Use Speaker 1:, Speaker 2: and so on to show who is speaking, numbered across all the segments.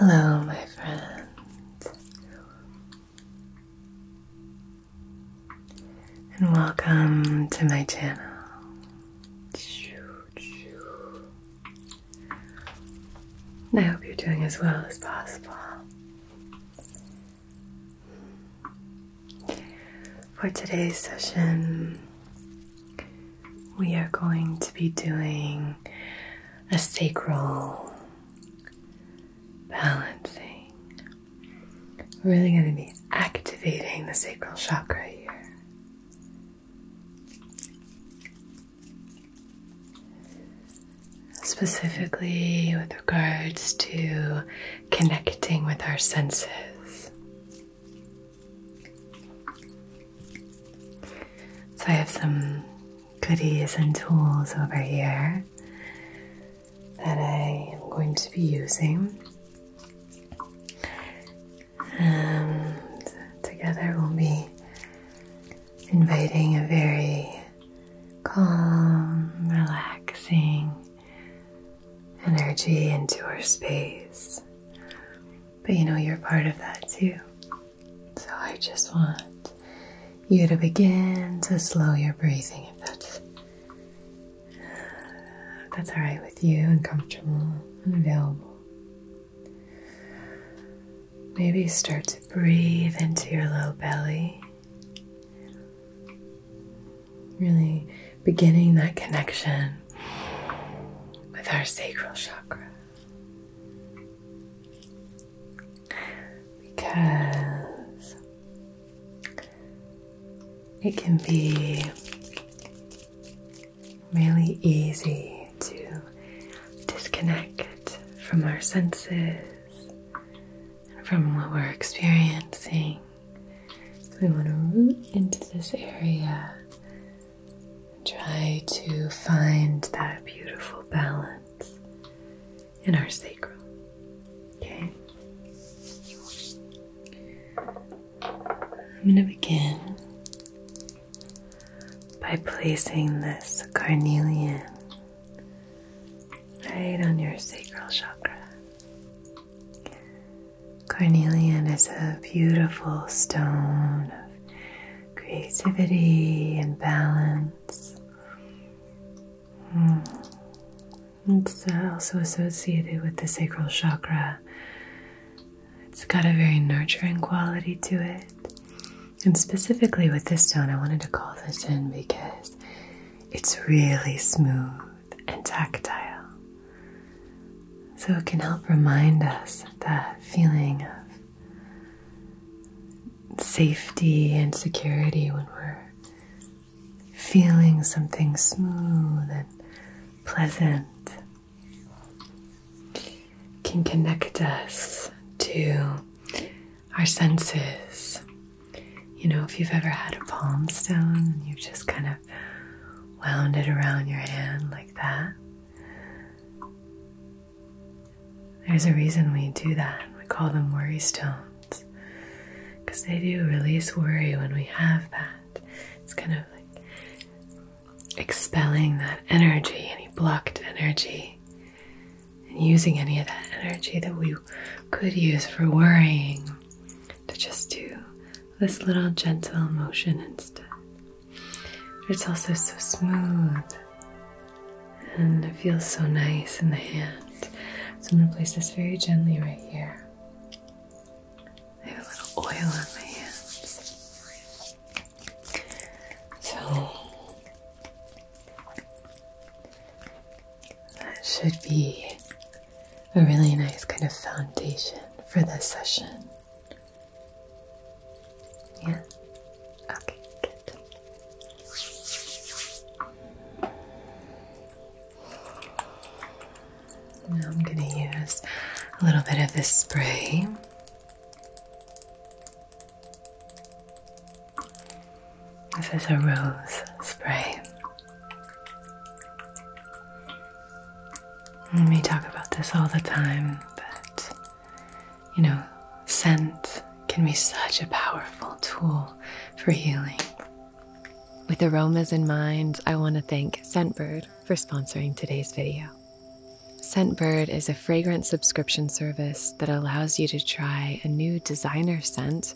Speaker 1: Hello, my friend. And welcome to my channel. I hope you're doing as well as possible. For today's session, we are going to be doing a sacral balancing. We're really going to be activating the sacral chakra here. Specifically, with regards to connecting with our senses. So, I have some goodies and tools over here that I am going to be using. And um, together we'll be inviting a very calm, relaxing, energy into our space. But you know, you're part of that too. So I just want you to begin to slow your breathing if that's that's all right with you and comfortable and available. Maybe start to breathe into your low belly. Really beginning that connection with our sacral chakra. Because it can be really easy to disconnect from our senses from what we're experiencing. we want to root into this area and try to find that beautiful balance in our sacrum. Okay? I'm going to begin by placing this carnelian right on your sacral chakra. Carnelian is a beautiful stone of creativity and balance. Mm. It's uh, also associated with the sacral chakra. It's got a very nurturing quality to it. And specifically with this stone, I wanted to call this in because it's really smooth and tactile. So it can help remind us that feeling of safety and security when we're feeling something smooth and pleasant. can connect us to our senses. You know, if you've ever had a palm stone and you've just kind of wound it around your hand like that, there's a reason we do that. We call them worry stones because they do release worry when we have that. It's kind of like expelling that energy, any blocked energy and using any of that energy that we could use for worrying to just do this little gentle motion instead. It's also so smooth and it feels so nice in the hand. So I'm going to place this very gently right here. I have a little oil on my hands. So that should be a really nice kind of foundation for this session. Yeah? Okay, good. Now I'm going to use a little bit of this spray. This is a rose spray. And we talk about this all the time, but you know, scent can be such a powerful tool for healing. With aromas in mind, I want to thank Scentbird for sponsoring today's video. Scentbird is a fragrance subscription service that allows you to try a new designer scent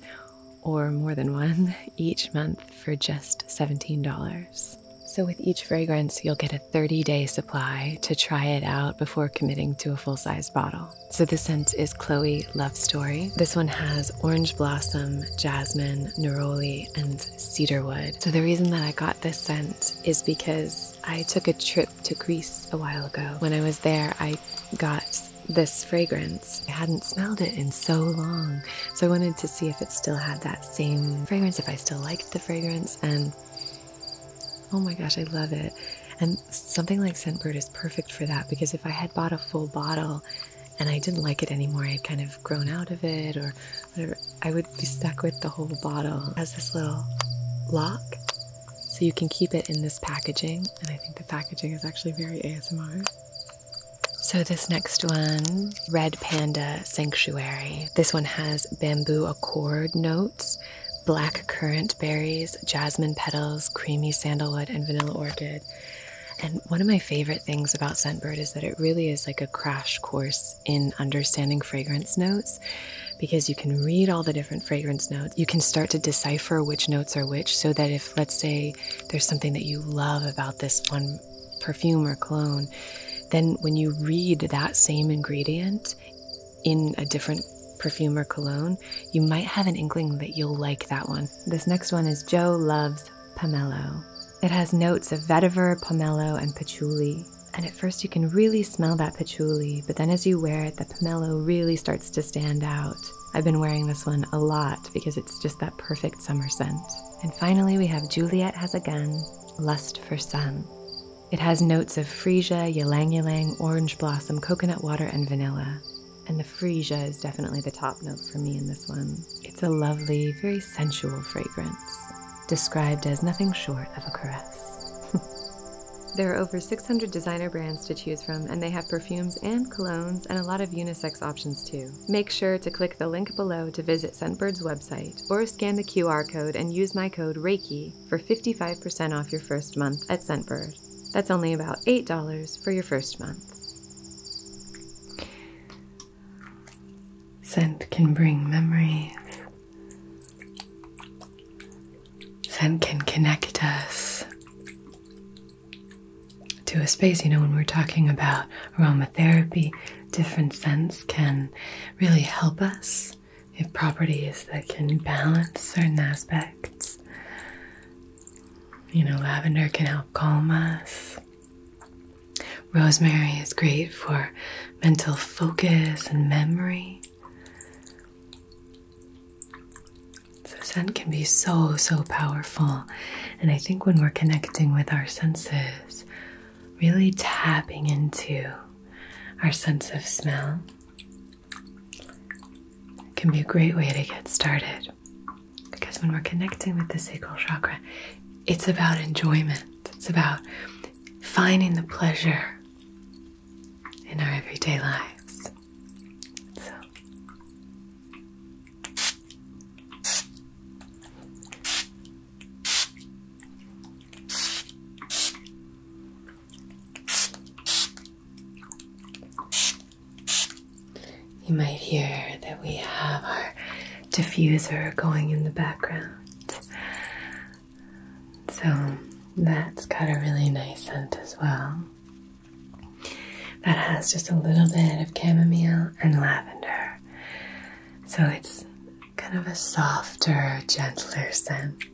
Speaker 1: or more than one each month for just $17. So, with each fragrance, you'll get a 30 day supply to try it out before committing to a full size bottle. So, the scent is Chloe Love Story. This one has orange blossom, jasmine, neroli, and cedarwood. So, the reason that I got this scent is because I took a trip to Greece a while ago. When I was there, I got this fragrance. I hadn't smelled it in so long, so I wanted to see if it still had that same fragrance, if I still liked the fragrance, and oh my gosh, I love it. And something like Scentbird is perfect for that because if I had bought a full bottle and I didn't like it anymore, I had kind of grown out of it or whatever, I would be stuck with the whole bottle. It has this little lock so you can keep it in this packaging, and I think the packaging is actually very ASMR. So, this next one, Red Panda Sanctuary. This one has bamboo accord notes, black currant berries, jasmine petals, creamy sandalwood, and vanilla orchid. And one of my favorite things about Scentbird is that it really is like a crash course in understanding fragrance notes because you can read all the different fragrance notes. You can start to decipher which notes are which so that if let's say, there's something that you love about this one perfume or clone, then when you read that same ingredient in a different perfume or cologne, you might have an inkling that you'll like that one. This next one is Joe Loves Pomelo. It has notes of vetiver, pomelo, and patchouli. And at first, you can really smell that patchouli, but then as you wear it, the pomelo really starts to stand out. I've been wearing this one a lot because it's just that perfect summer scent. And finally, we have Juliet Has a Gun, Lust for Sun. It has notes of freesia, ylang ylang, orange blossom, coconut water, and vanilla. And the freesia is definitely the top note for me in this one. It's a lovely, very sensual fragrance, described as nothing short of a caress. There are over 600 designer brands to choose from, and they have perfumes and colognes and a lot of unisex options too. Make sure to click the link below to visit Scentbird's website or scan the QR code and use my code REIKI for 55% off your first month at Scentbird. That's only about $8 for your first month. Scent can bring memories. Scent can connect us to a space. You know, when we're talking about aromatherapy, different scents can really help us. We have properties that can balance certain aspects. You know, lavender can help calm us. Rosemary is great for mental focus and memory. So, scent can be so, so powerful. And I think when we're connecting with our senses, really tapping into our sense of smell can be a great way to get started. Because when we're connecting with the sacral chakra, it's about enjoyment, it's about finding the pleasure in our everyday lives you might hear that we have our diffuser going in the background. So that's got a really nice scent as well that has just a little bit of chamomile and lavender. So it's kind of a softer, gentler scent.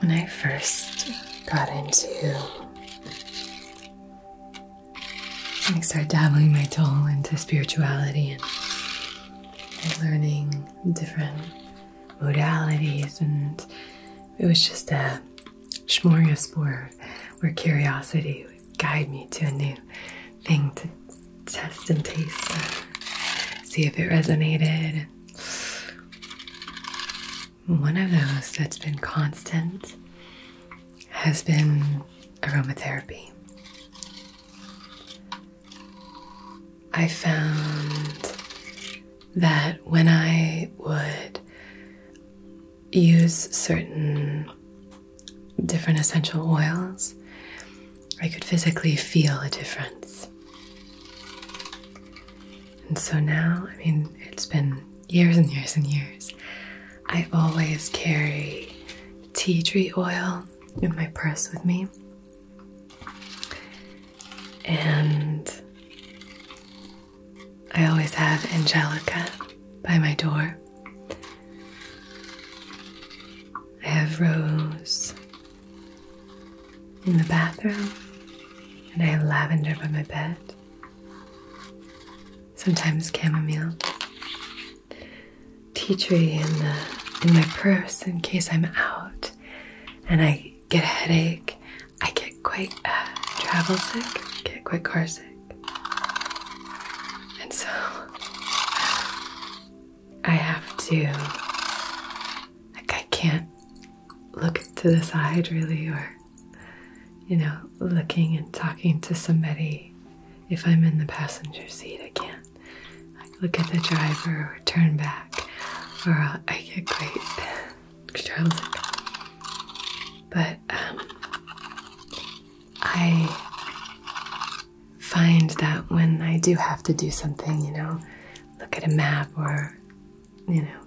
Speaker 1: When I first got into I started dabbling my toe into spirituality and, learning different modalities and it was just a smorgasbord where curiosity would guide me to a new thing to test and taste, uh, see if it resonated. One of those that's been constant has been aromatherapy. I found that when I would use certain different essential oils, I could physically feel a difference. And so now, I mean, it's been years and years and years. I always carry tea tree oil in my purse with me. And I always have Angelica by my door. I have rose in the bathroom, and I have lavender by my bed. Sometimes chamomile, tea tree in my purse in case I'm out and I get a headache. I get quite uh, travel sick, get quite car sick, and so I have to, like, I can't look to the side really, or, you know, looking and talking to somebody if I'm in the passenger seat. I can't look at the driver or turn back, or i get great startled. But um, I find that when I do have to do something, you know, look at a map or, you know,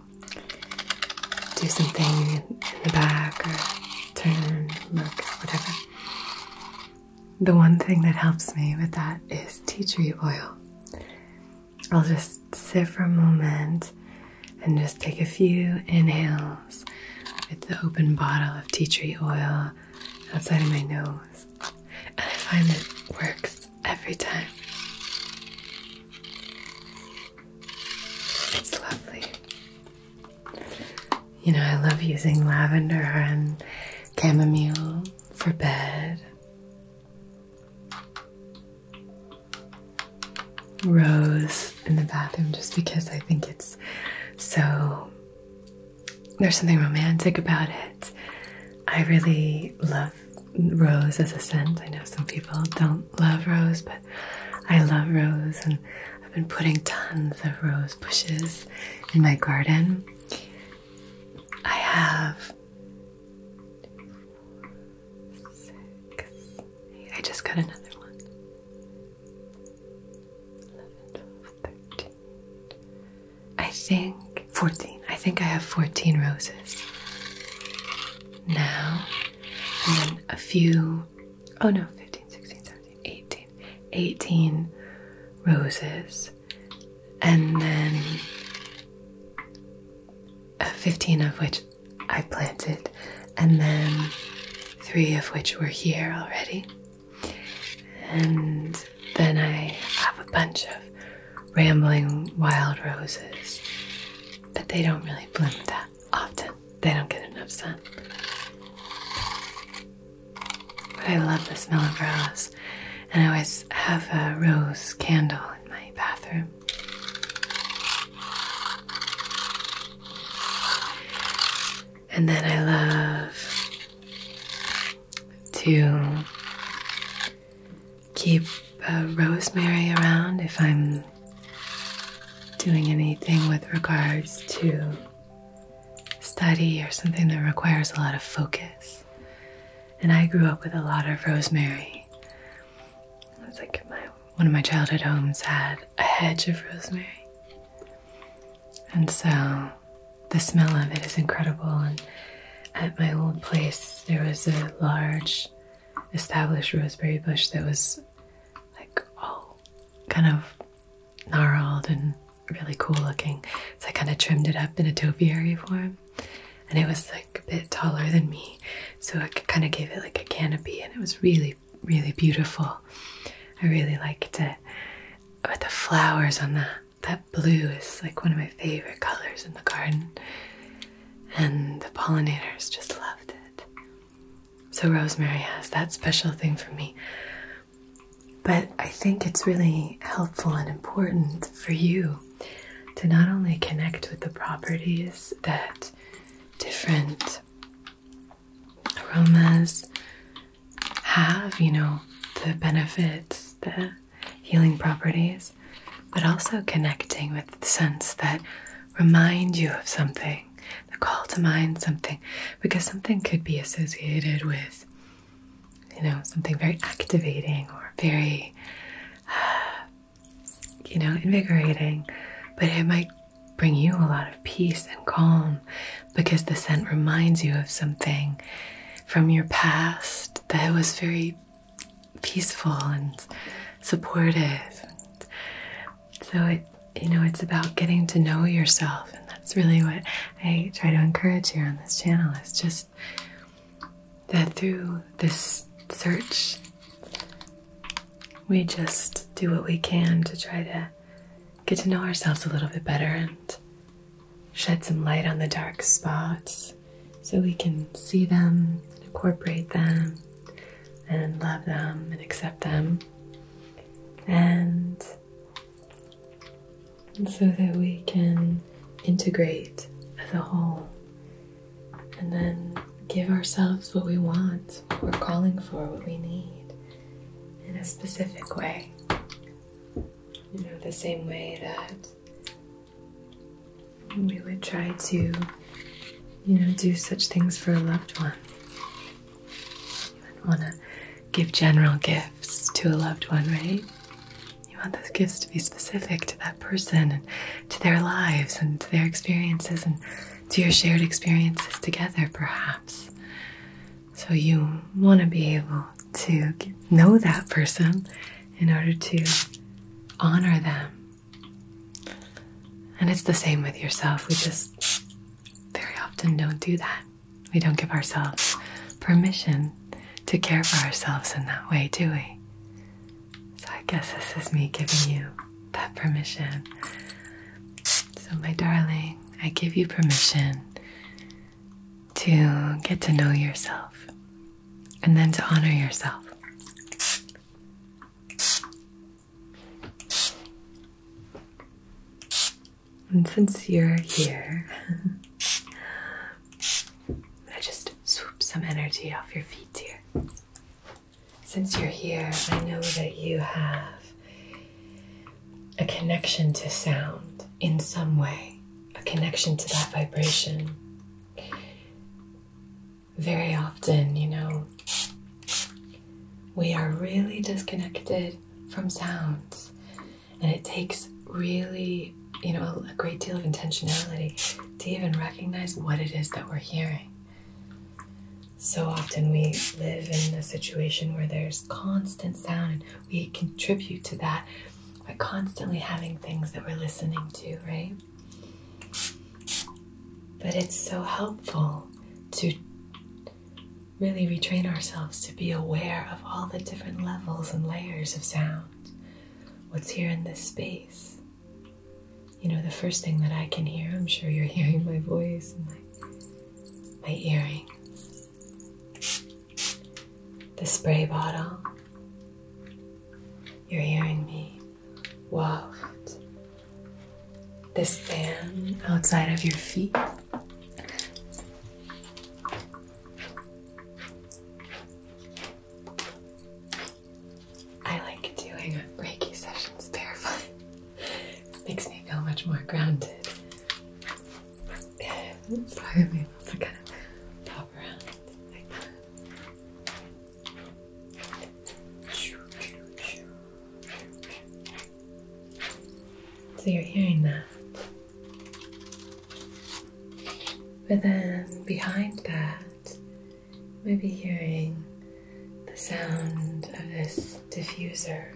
Speaker 1: do something in, the back or turn, look, whatever. The one thing that helps me with that is tea tree oil. I'll just sit for a moment and just take a few inhales with the open bottle of tea tree oil outside of my nose, and I find it works every time. It's lovely. You know, I love using lavender and chamomile for bed. Rose in the bathroom just because I think it's so there's something romantic about it. I really love rose as a scent. I know some people don't love rose, but I love rose, and I've been putting tons of rose bushes in my garden. I have I just got another one. 13. I think 14. I think I have 14 roses now. And then a few oh no, 15, 16, 17, 18 roses. And then 15 of which I planted, and then three of which were here already. And then I have a bunch of rambling wild roses, but they don't really bloom that often. They don't get enough sun. But I love the smell of rose, and I always have a rose candle in my bathroom. And then I love to keep uh, rosemary around if I'm doing anything with regards to study or something that requires a lot of focus. And I grew up with a lot of rosemary. It's like one of my childhood homes had a hedge of rosemary. And so the smell of it is incredible. And at my old place, there was a large established roseberry bush that was like all kind of gnarled and really cool looking. So I kind of trimmed it up in a topiary form. And it was like a bit taller than me. So I kind of gave it like a canopy and it was really, really beautiful. I really liked it. But the flowers on that. That blue is like one of my favorite colors in the garden, and the pollinators just loved it. So, rosemary has that special thing for me. But I think it's really helpful and important for you to not only connect with the properties that different aromas have, you know, the benefits, the healing properties, but also connecting with the scents that remind you of something, the call to mind something, because something could be associated with, you know, something very activating or very, you know, invigorating, but it might bring you a lot of peace and calm because the scent reminds you of something from your past that was very peaceful and supportive. So it you know it's about getting to know yourself and that's really what I try to encourage here on this channel is just that through this search we just do what we can to try to get to know ourselves a little bit better and shed some light on the dark spots so we can see them, incorporate them, and love them and accept them. And so that we can integrate as a whole and then give ourselves what we want, what we're calling for, what we need, in a specific way. You know, the same way that we would try to, you know, do such things for a loved one. You want to give general gifts to a loved one, right? You want those gifts to be specific to that person and to their lives and to their experiences and to your shared experiences together, perhaps. So you want to be able to know that person in order to honor them. And it's the same with yourself. We just very often don't do that. We don't give ourselves permission to care for ourselves in that way, do we? So I guess this is me giving you that permission. So, my darling, I give you permission to get to know yourself and then to honor yourself. And since you're here, I just swoop some energy off your feet here. Since you're here, I know that you have a connection to sound in some way, a connection to that vibration. Very often, you know, we are really disconnected from sounds, and it takes really, you know, a great deal of intentionality to even recognize what it is that we're hearing so often we live in a situation where there's constant sound and we contribute to that by constantly having things that we're listening to, right? But it's so helpful to really retrain ourselves to be aware of all the different levels and layers of sound. What's here in this space? You know, the first thing that I can hear, I'm sure you're hearing my voice and my, my the spray bottle. You're hearing me waft this fan outside of your feet. I like doing Reiki sessions barefoot. Makes me feel much more grounded. It's probably able kind of pop around like So you're hearing that. But then behind that, we might hearing the sound of this diffuser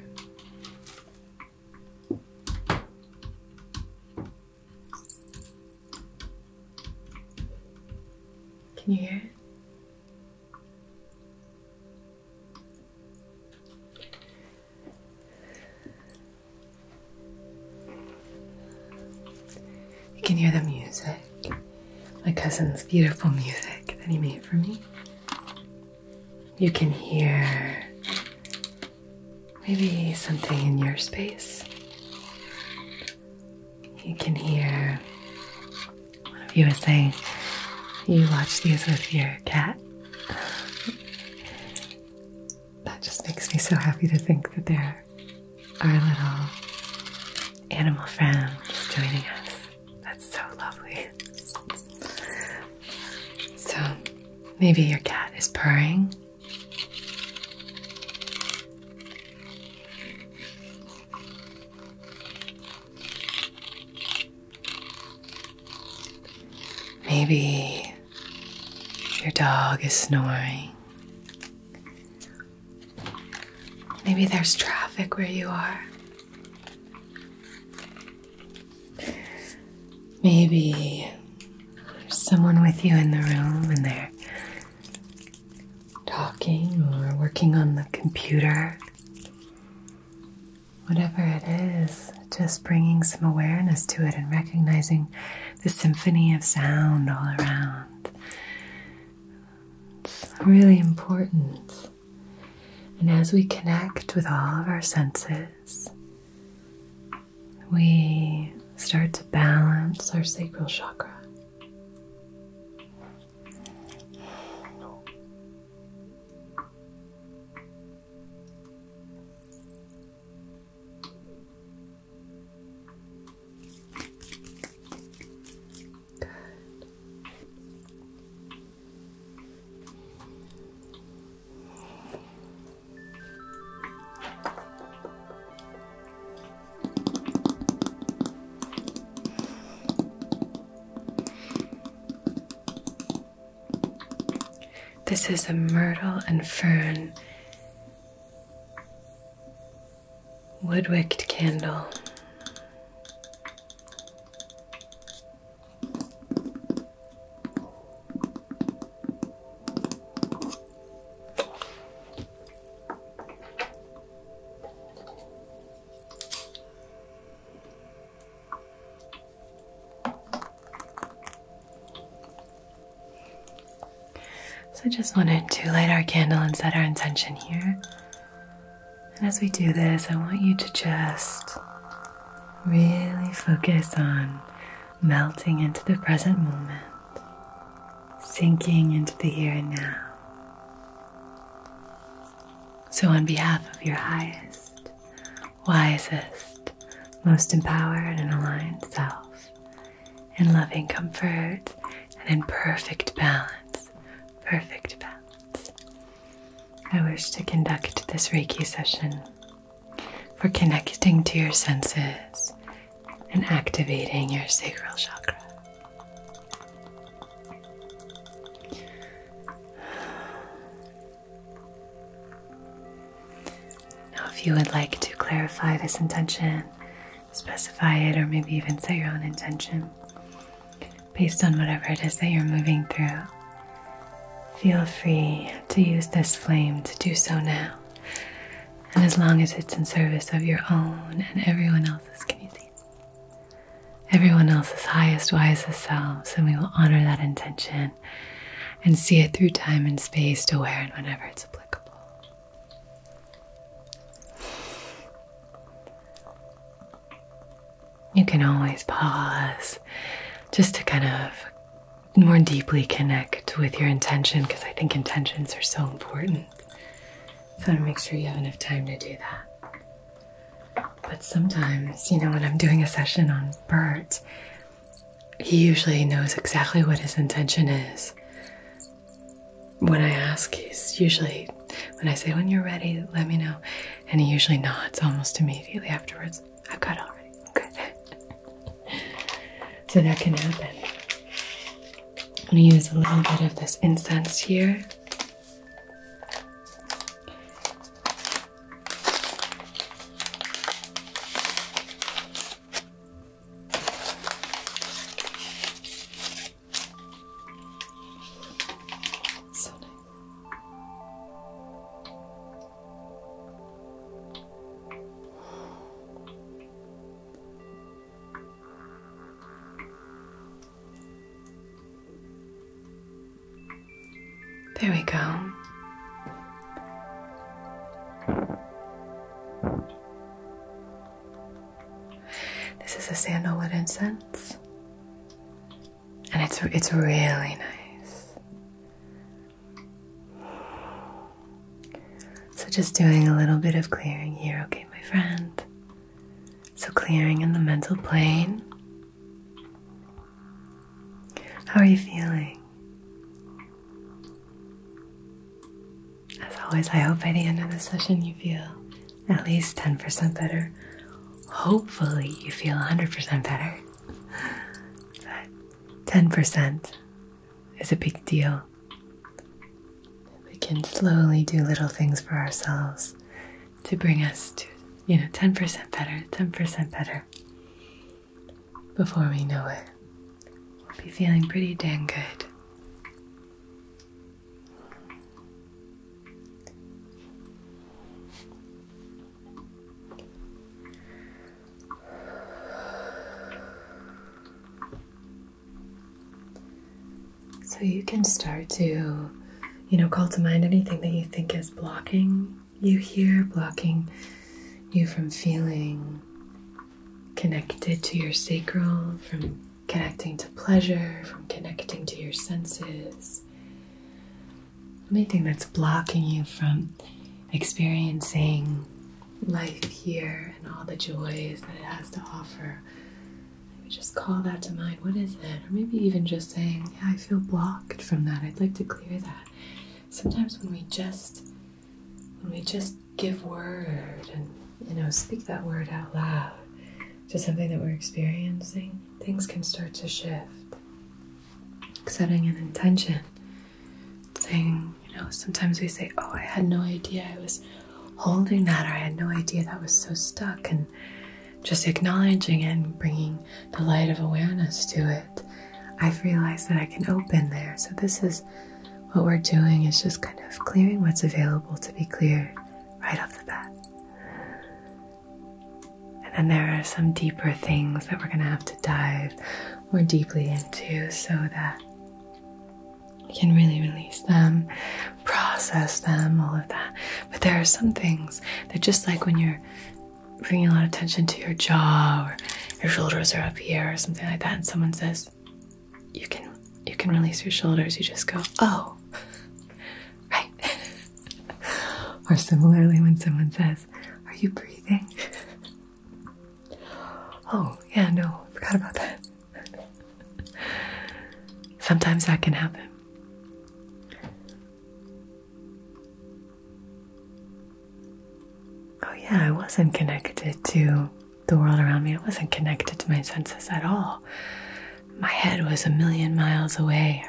Speaker 1: can you hear it? You can hear the music, my cousin's beautiful music that he made for me. You can hear maybe something in your space. You can hear what of you was saying you watch these with your cat. that just makes me so happy to think that they are our little animal friends joining us. That's so lovely. So, maybe your cat is purring. Maybe your dog is snoring. Maybe there's traffic where you are. Maybe there's someone with you in the room and they're talking or working on the computer. Whatever it is, just bringing some awareness to it and recognizing the symphony of sound all around. It's really important and as we connect with all of our senses, we start to balance our sacral chakra. This is a myrtle and fern woodwicked candle. So, I just wanted to light our candle and set our intention here and as we do this, I want you to just really focus on melting into the present moment, sinking into the here and now. So, on behalf of your highest, wisest, most empowered and aligned self, in loving comfort and in perfect balance, perfect balance. I wish to conduct this Reiki session for connecting to your senses and activating your sacral chakra. Now, if you would like to clarify this intention, specify it, or maybe even set your own intention, based on whatever it is that you're moving through. Feel free to use this flame to do so now. And as long as it's in service of your own and everyone else's can community, everyone else's highest, wisest selves, and we will honor that intention and see it through time and space to where and whenever it's applicable. You can always pause just to kind of more deeply connect with your intention because I think intentions are so important. So want to make sure you have enough time to do that. But sometimes, you know, when I'm doing a session on Bert, he usually knows exactly what his intention is. When I ask, he's usually, when I say, when you're ready, let me know and he usually nods almost immediately afterwards. I've got it already. Good. so that can happen. I'm going to use a little bit of this incense here. So nice. There we go. This is a sandalwood incense and it's it's really nice. So just doing a little bit of clearing here, okay, my friend. So clearing in the mental plane. How are you feeling? As always, I hope by the end of the session you feel at least 10% better. Hopefully, you feel 100% better. But 10% is a big deal. We can slowly do little things for ourselves to bring us to, you know, 10% better, 10% better. Before we know it, we'll be feeling pretty dang good. So you can start to, you know, call to mind anything that you think is blocking you here, blocking you from feeling connected to your sacral, from connecting to pleasure, from connecting to your senses anything that's blocking you from experiencing life here and all the joys that it has to offer. just call that to mind. What is it? Or maybe even just saying, Yeah, I feel blocked from that. I'd like to clear that. Sometimes when we just when we just give word and you know speak that word out loud to something that we're experiencing, things can start to shift. Setting an intention, saying, you know, sometimes we say, Oh, I had no idea I was holding that, or I had no idea that was so stuck, and just acknowledging and bringing the light of awareness to it. I've realized that I can open there. So, this is what we're doing is just kind of clearing what's available to be cleared right off the bat. And then there are some deeper things that we're going to have to dive more deeply into so that we can really release them, process them, all of that. But there are some things that just like when you're bringing a lot of tension to your jaw or your shoulders are up here or something like that and someone says you can you can release your shoulders you just go oh right? or similarly, when someone says, Are you breathing? oh, yeah, no, I forgot about that. Sometimes that can happen. Oh, yeah, I wasn't connected to the world around me. I wasn't connected to my senses at all. My head was a million miles away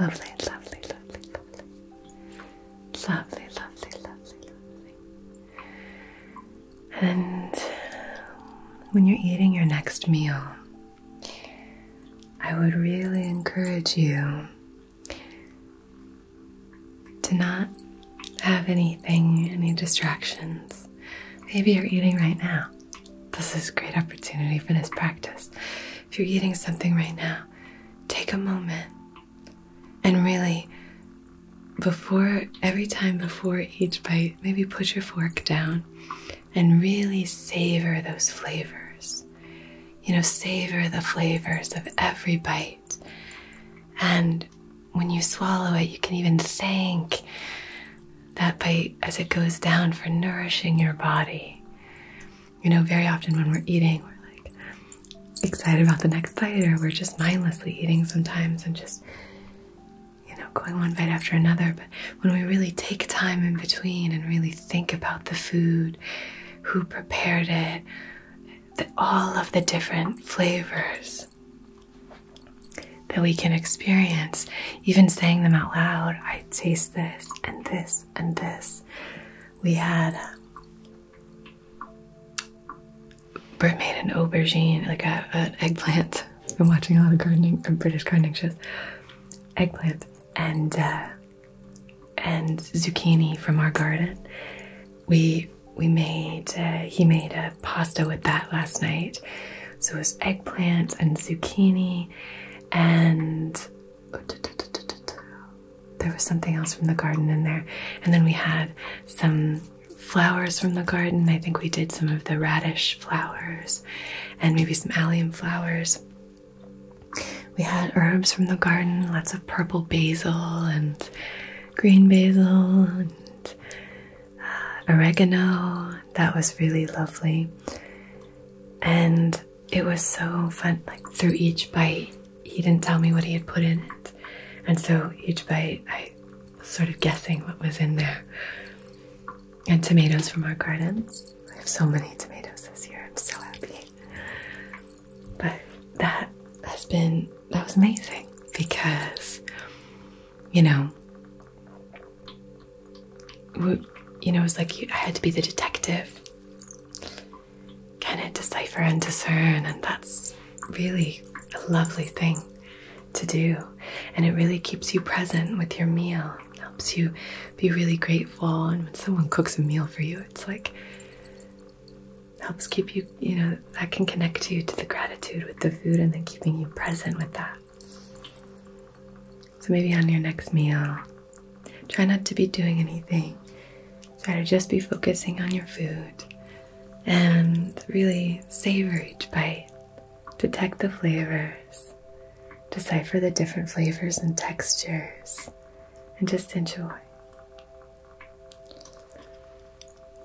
Speaker 1: Lovely, lovely, lovely, lovely. Lovely, lovely, lovely, lovely. And um, when you're eating your next meal, I would really encourage you to not have anything, any distractions. Maybe you're eating right now. This is a great opportunity for this practice if you're eating something right now, take a moment and really, before every time before each bite, maybe put your fork down and really savor those flavors. You know, savor the flavors of every bite. And when you swallow it, you can even think that bite as it goes down for nourishing your body. You know, very often when we're eating, we're like excited about the next bite, or we're just mindlessly eating sometimes and just, you know, going one bite after another. But when we really take time in between and really think about the food, who prepared it, the, all of the different flavors that we can experience, even saying them out loud. I taste this and this and this. We had made an aubergine, like an eggplant. I'm watching a lot of gardening, uh, British gardening shows. Eggplant and uh, and zucchini from our garden. We we made uh, he made a pasta with that last night. So it was eggplant and zucchini and there was something else from the garden in there and then we had some flowers from the garden i think we did some of the radish flowers and maybe some allium flowers we had herbs from the garden lots of purple basil and green basil and uh, oregano that was really lovely and it was so fun. Like through each bite, he didn't tell me what he had put in it. And so each bite, I was sort of guessing what was in there. And tomatoes from our gardens. I have so many tomatoes this year. I'm so happy. But that has been, that was amazing because, you know, you know, it's like I had to be the detective, kind of decipher and discern, and that's really a lovely thing to do. And it really keeps you present with your meal, helps you be really grateful. And when someone cooks a meal for you, it's like helps keep you, you know, that can connect you to the gratitude with the food and then keeping you present with that. So maybe on your next meal, try not to be doing anything. Try to just be focusing on your food and really savor each bite. Detect the flavors, decipher the different flavors and textures, and just enjoy.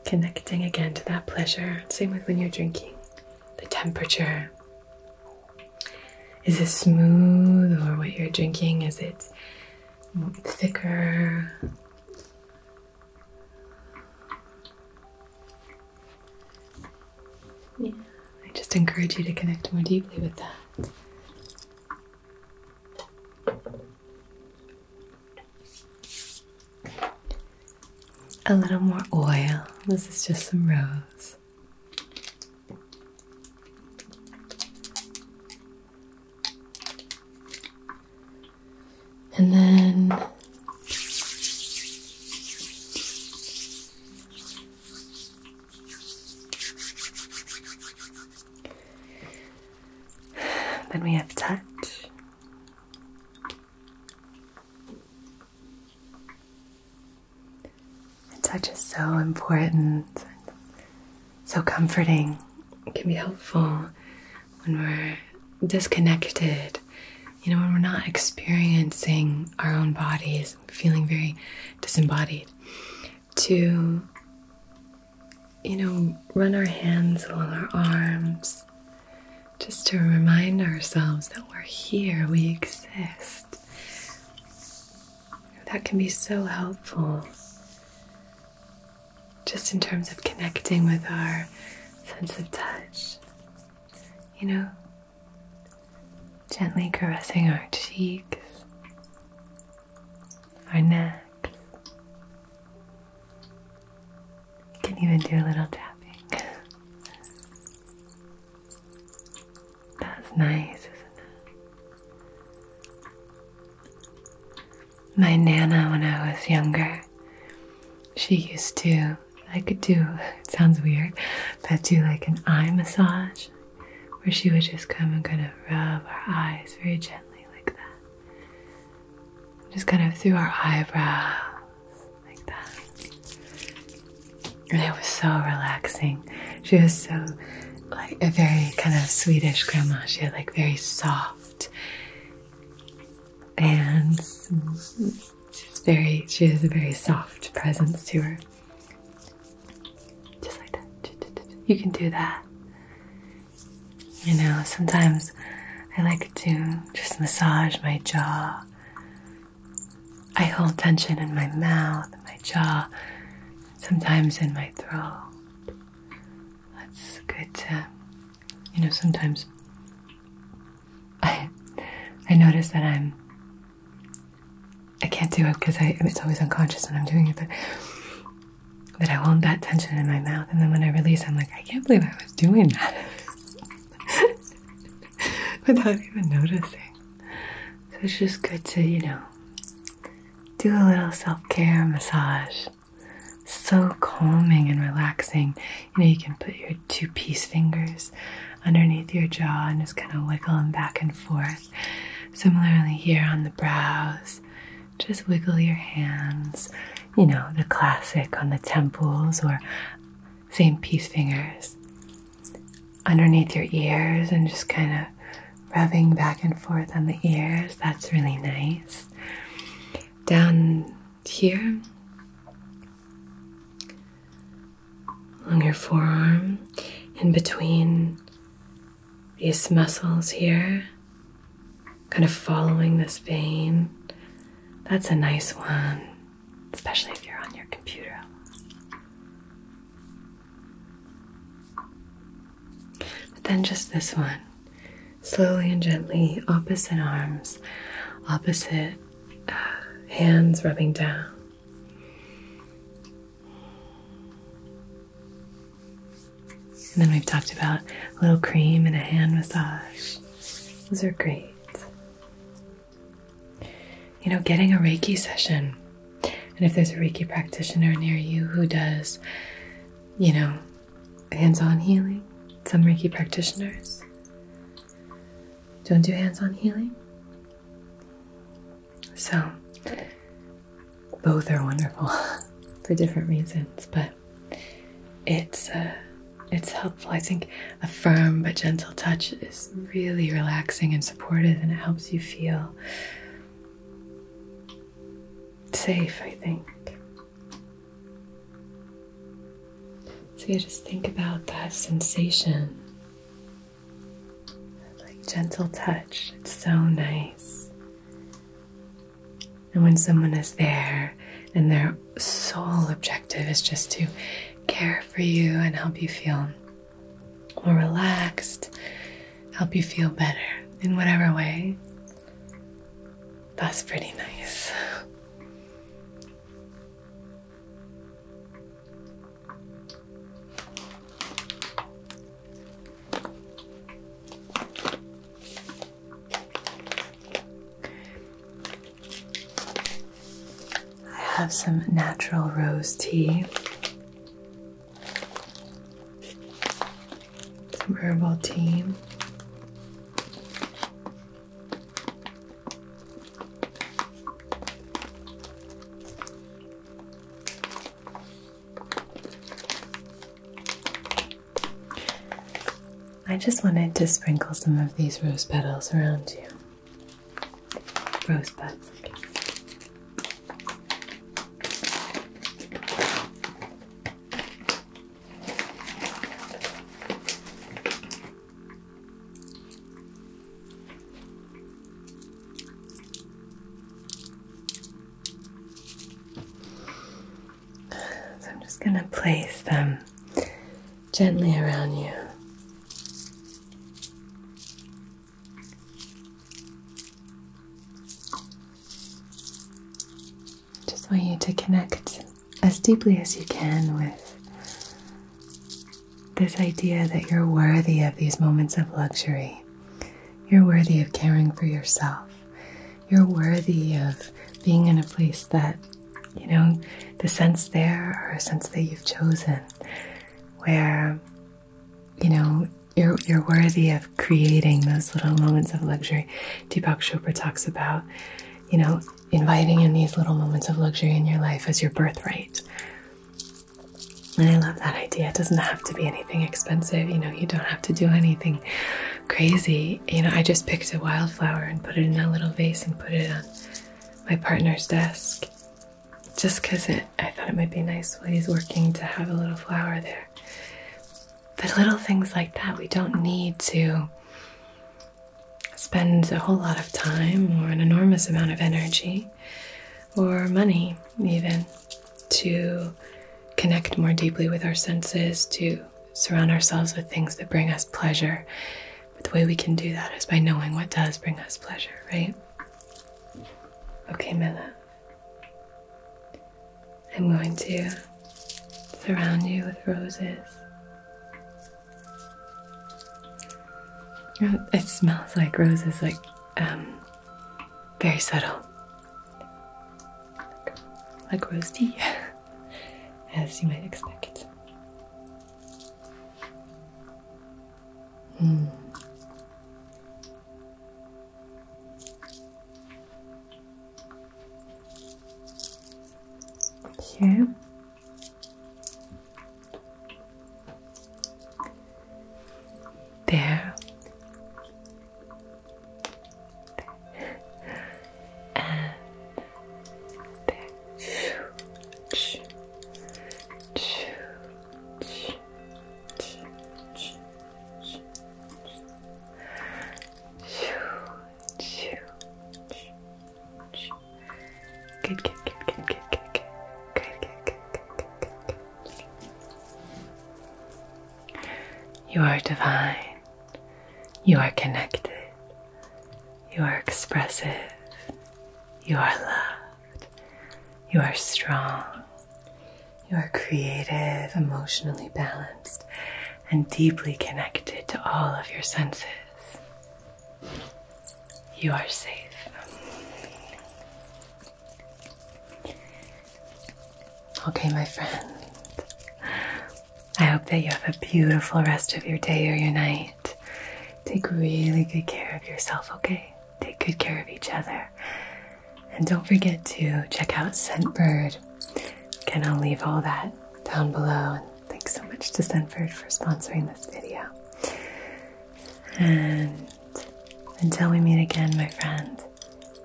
Speaker 1: Connecting again to that pleasure. Same with when you're drinking the temperature. Is it smooth or what you're drinking? Is it thicker? Yeah, I just encourage you to connect more deeply with that. A little more oil. This is just some rose. And then then we have touch touch is so important, so comforting. It can be helpful when we're disconnected, you know, when we're not experiencing our own bodies, feeling very disembodied. To, you know, run our hands along our arms just to remind ourselves that we're here, we exist. That can be so helpful just in terms of connecting with our sense of touch. You know, gently caressing our cheeks, our neck. You can even do a little tapping. That's nice, isn't it? My Nana, when I was younger, she used to, I could do, it sounds weird, but do like an eye massage where she would just come and kind of rub our eyes very gently like that. Just kind of through our eyebrows like that. And it was so relaxing. She was so, like, a very kind of Swedish grandma. She had, like, very soft hands. She's very, she has a very soft presence to her. Just like that. You can do that. You know, sometimes I like to just massage my jaw I hold tension in my mouth, my jaw, sometimes in my throat. That's good to, you know, sometimes I, I notice that I'm, I can't do it because it's always unconscious and I'm doing it, but that I hold that tension in my mouth. And then when I release, I'm like, I can't believe I was doing that without even noticing. So it's just good to, you know, do a little self care massage. So calming and relaxing. You know, you can put your two piece fingers underneath your jaw and just kind of wiggle them back and forth. Similarly, here on the brows, just wiggle your hands. You know, the classic on the temples or same piece fingers underneath your ears and just kind of rubbing back and forth on the ears. That's really nice. Down here, along your forearm, in between these muscles here, kind of following this vein. That's a nice one especially if you're on your computer. But then just this one. Slowly and gently, opposite arms, opposite uh, hands rubbing down. And then we've talked about a little cream and a hand massage. Those are great you know, getting a Reiki session. And if there's a Reiki practitioner near you who does, you know, hands on healing, some Reiki practitioners don't do hands on healing. So, both are wonderful for different reasons, but it's uh, it's helpful. I think a firm but gentle touch is really relaxing and supportive, and it helps you feel safe, I think. So you just think about that sensation. Like gentle touch, it's so nice. And when someone is there and their sole objective is just to care for you and help you feel more relaxed, help you feel better in whatever way. That's pretty nice. I have some natural rose tea, some herbal tea. I just wanted to sprinkle some of these rose petals around you rosebuds. So I'm just going to place them gently around you. Just want you to connect as deeply as you can with this idea that you're worthy of these moments of luxury. You're worthy of caring for yourself. You're worthy of being in a place that you know, the sense there or a sense that you've chosen where, you know, you're, you're worthy of creating those little moments of luxury. Deepak Chopra talks about, you know, inviting in these little moments of luxury in your life as your birthright. And I love that idea. It doesn't have to be anything expensive. You know, you don't have to do anything crazy. You know, I just picked a wildflower and put it in a little vase and put it on my partner's desk just because it I thought it might be nice while he's working to have a little flower there. But little things like that, we don't need to spend a whole lot of time or an enormous amount of energy or money, even to connect more deeply with our senses, to surround ourselves with things that bring us pleasure the way we can do that is by knowing what does bring us pleasure, right? Okay, my I'm going to surround you with roses. Oh, it smells like roses, like um, very subtle, like, like as you might expect. Here. There. and there. Good, good, good, good, good, good, good, good, good, good, good. You are divine. You are connected. You are expressive. You are loved. You are strong. You are creative, emotionally balanced, and deeply connected to all of your senses. You are safe. Okay, my friend. I hope that you have a beautiful rest of your day or your night. Take really good care of yourself, okay? Take good care of each other. And don't forget to check out Scentbird. Again, I'll leave all that down below. And thanks so much to Scentbird for sponsoring this video. And until we meet again, my friend,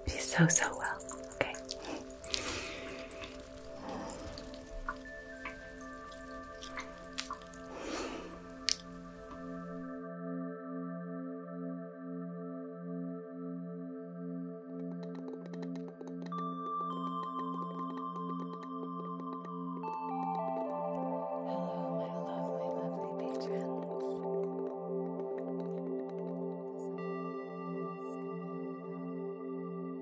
Speaker 1: be so, so well, okay? Hello, my lovely, lovely patrons.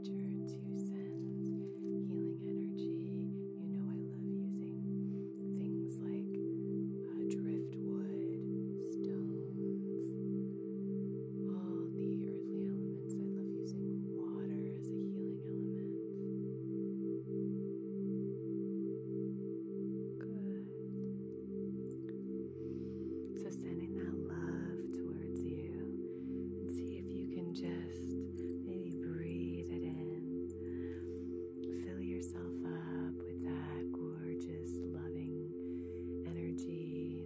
Speaker 1: to send healing energy. You know, I love using things like uh, driftwood, stones, all the earthly elements. I love using water as a healing element. Good. So, sending that love towards you. And see if you can just just maybe breathe it in. Fill yourself up with that gorgeous, loving energy.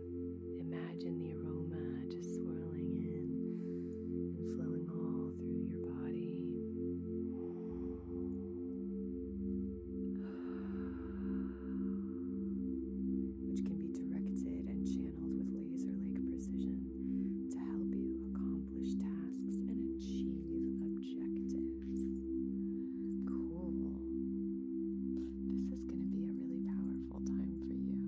Speaker 1: Imagine the aroma just swirling in and flowing all through your body. Which can be directed and channeled with laser like precision to help you accomplish tasks and achieve objectives. Cool. This is going to be a really powerful time for you.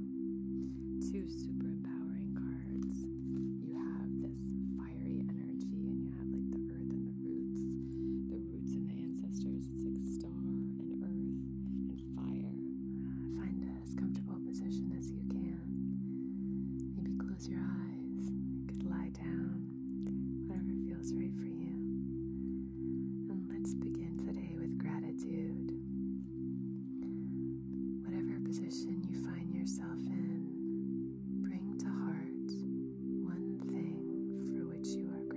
Speaker 1: Two super empowering cards. You have this fiery energy, and you have like the earth and the roots, the roots and the ancestors. It's like star and earth and fire. Find as comfortable position as you can. Maybe close your eyes. You could lie down, whatever feels right for you. And let's begin today with gratitude. Whatever position you find yourself in, bring to heart one thing for which you are grateful.